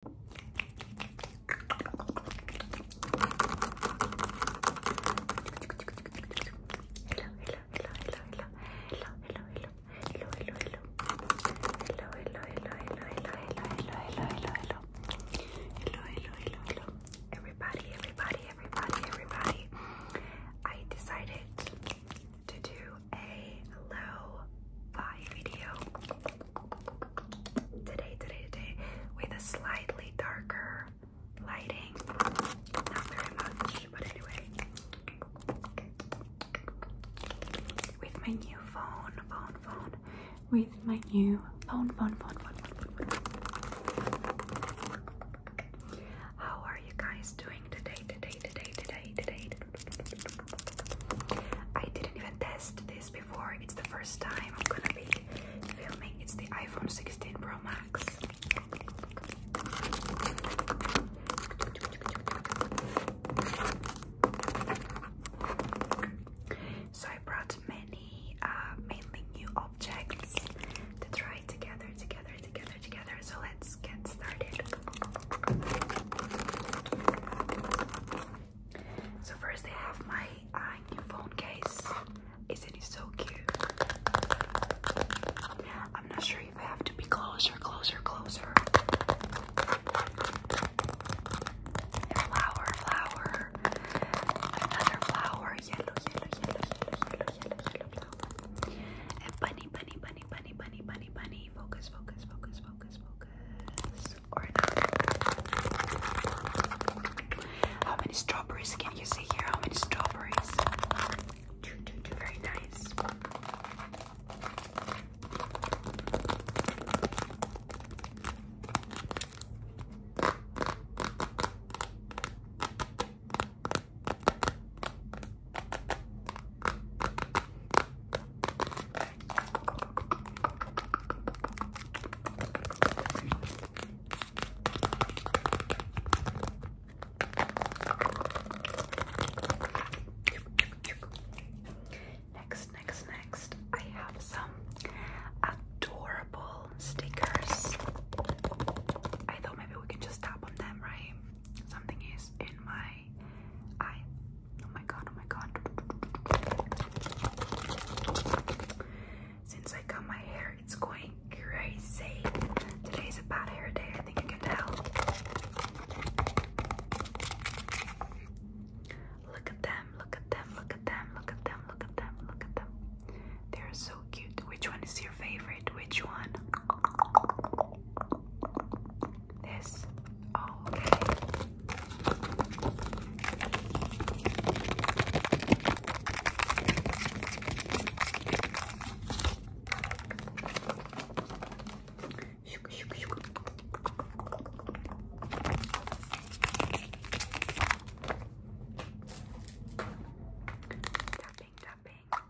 hello, everybody, everybody, everybody, everybody. I decided to do a low fi video today, today, today with a slightly darker lighting. Not very much, but anyway. With my new phone, phone, phone. With my new phone, phone, phone, phone, phone, phone. How are you guys doing today, today, today, today, today, I didn't even test this before. It's the first time I'm gonna be filming. It's the iPhone 16 Pro Max. So I brought many, uh, mainly new objects to try together, together, together, together. So let's get so first I have my new phone case. Isn't it so cute? I'm not sure if I have to be closer, closer, closer. flower, flower. Another flower. Yellow, yellow, yellow, yellow, yellow, yellow, yellow, yellow. bunny, bunny, bunny bunny, bunny, bunny, bunny, bunny. Focus, focus, focus, focus, focus. Or not. How many strawberries can you see here? How many strawberries? Two, two, two. Very nice. Next, next, next, I have some adorable stickers. I thought maybe we can just tap on them, right? Something is in my eye. Oh my god, oh my god. Since I cut my hair, it's going crazy. Today's a bad hair day, I think you can tell. Look at them, look at them, look at them, look at them, look at them, look at them. They're so cute. Which one is your favorite? Which one? this. okay. Shook, shook, shook. Tapping, tapping.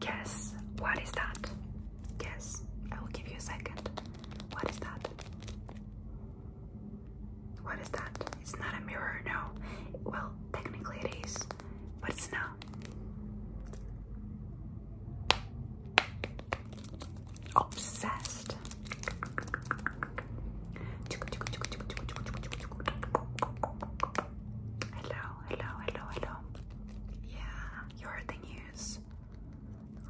Guess what is that? Guess. I will give you a second. What is that? What is that? It's not a mirror, no. Well, technically it is, but it's not. Obsessed. Hello, hello, hello, hello. Yeah, you heard the news.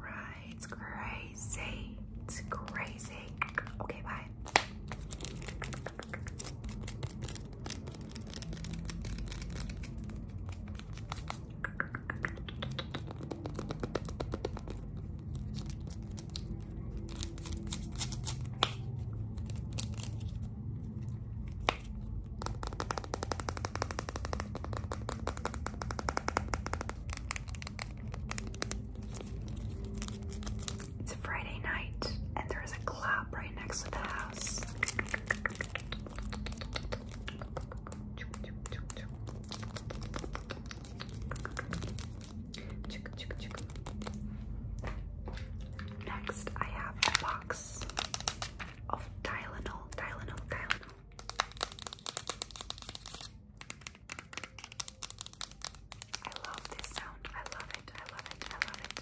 Right, it's crazy. It's crazy. Okay, bye. It's a Friday night, and there is a club right next to the house. Chick, chick, chick. Next, I have a box of Tylenol, Tylenol, Tylenol. I love this sound. I love it. I love it. I love it.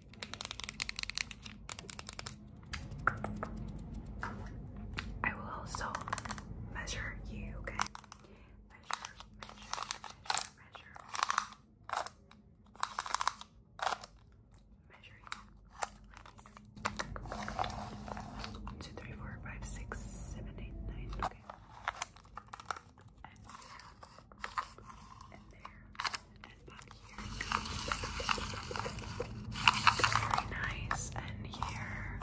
I will also measure you, okay? One, two, three, four, five, six, seven, eight, nine, okay. Very nice. And here.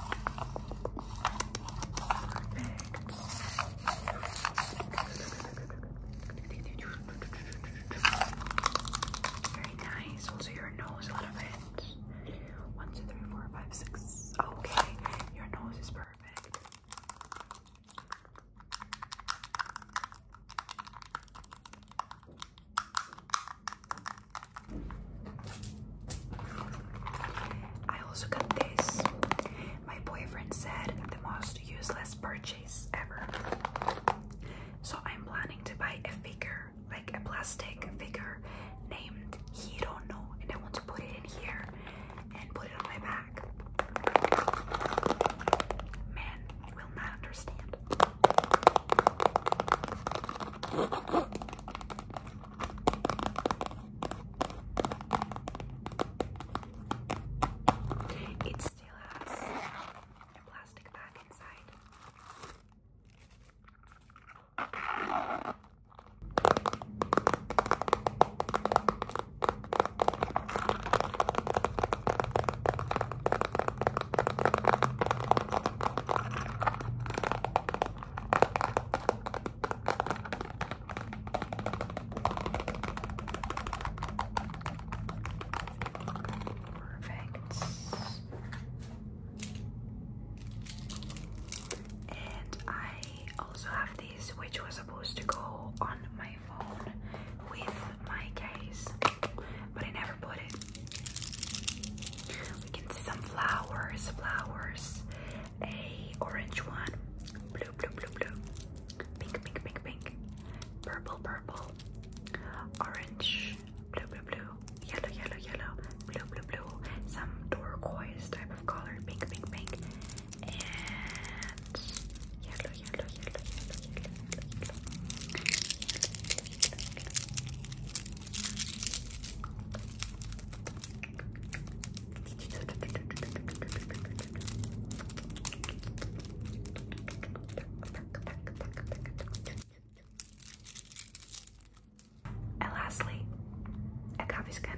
Perfect. Very nice. Also, your nose a little bit. One, two, three, four, five, six. Okay, your nose is perfect. I also got this. My boyfriend said the most useless purchase ever. So I'm planning to buy a figure, like a plastic figure named Hiro no, and I want to put it in here and put it on my back. Men will not understand. It still has a plastic bag inside. Perfect. And I also have this, which was supposed to go on my with my case, but I never put it. We can see some flowers, flowers, a orange one, blue, blue, blue, blue, pink, pink, pink, pink, purple, purple, orange, blue, blue, blue, yellow, yellow, yellow, blue, blue, blue, some turquoise type of color, pink, pink, pink, and yellow, yellow, yellow, yellow, yellow, yellow, and lastly, a coffee skin.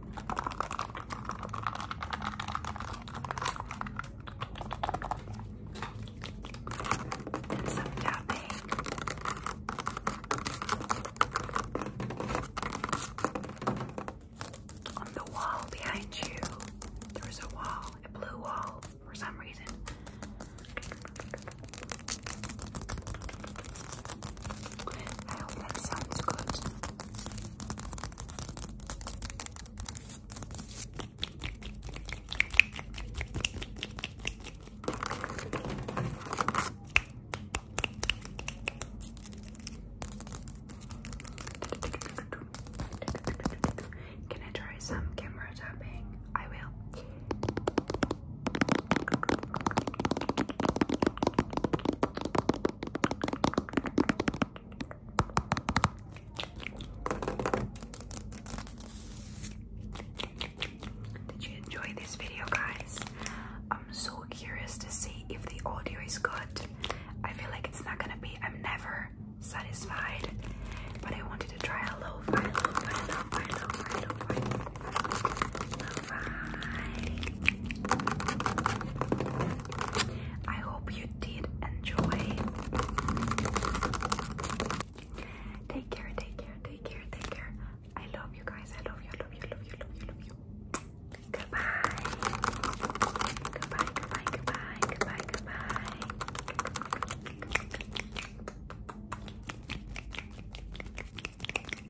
And some On the wall behind you, there a wall, a blue wall for some reason. I hope that sounds good. Can I try some camera tapping? I will. Did you enjoy this video, guys? I'm so curious to see if the audio is good. I feel like it's not gonna be, I'm never satisfied, but I wanted to try a low I hope you did enjoy. Take care, take care, take care, take care. I love you guys. I love you, I love you, I love you, I love you, I love you. Goodbye. Goodbye, goodbye, goodbye, goodbye, goodbye.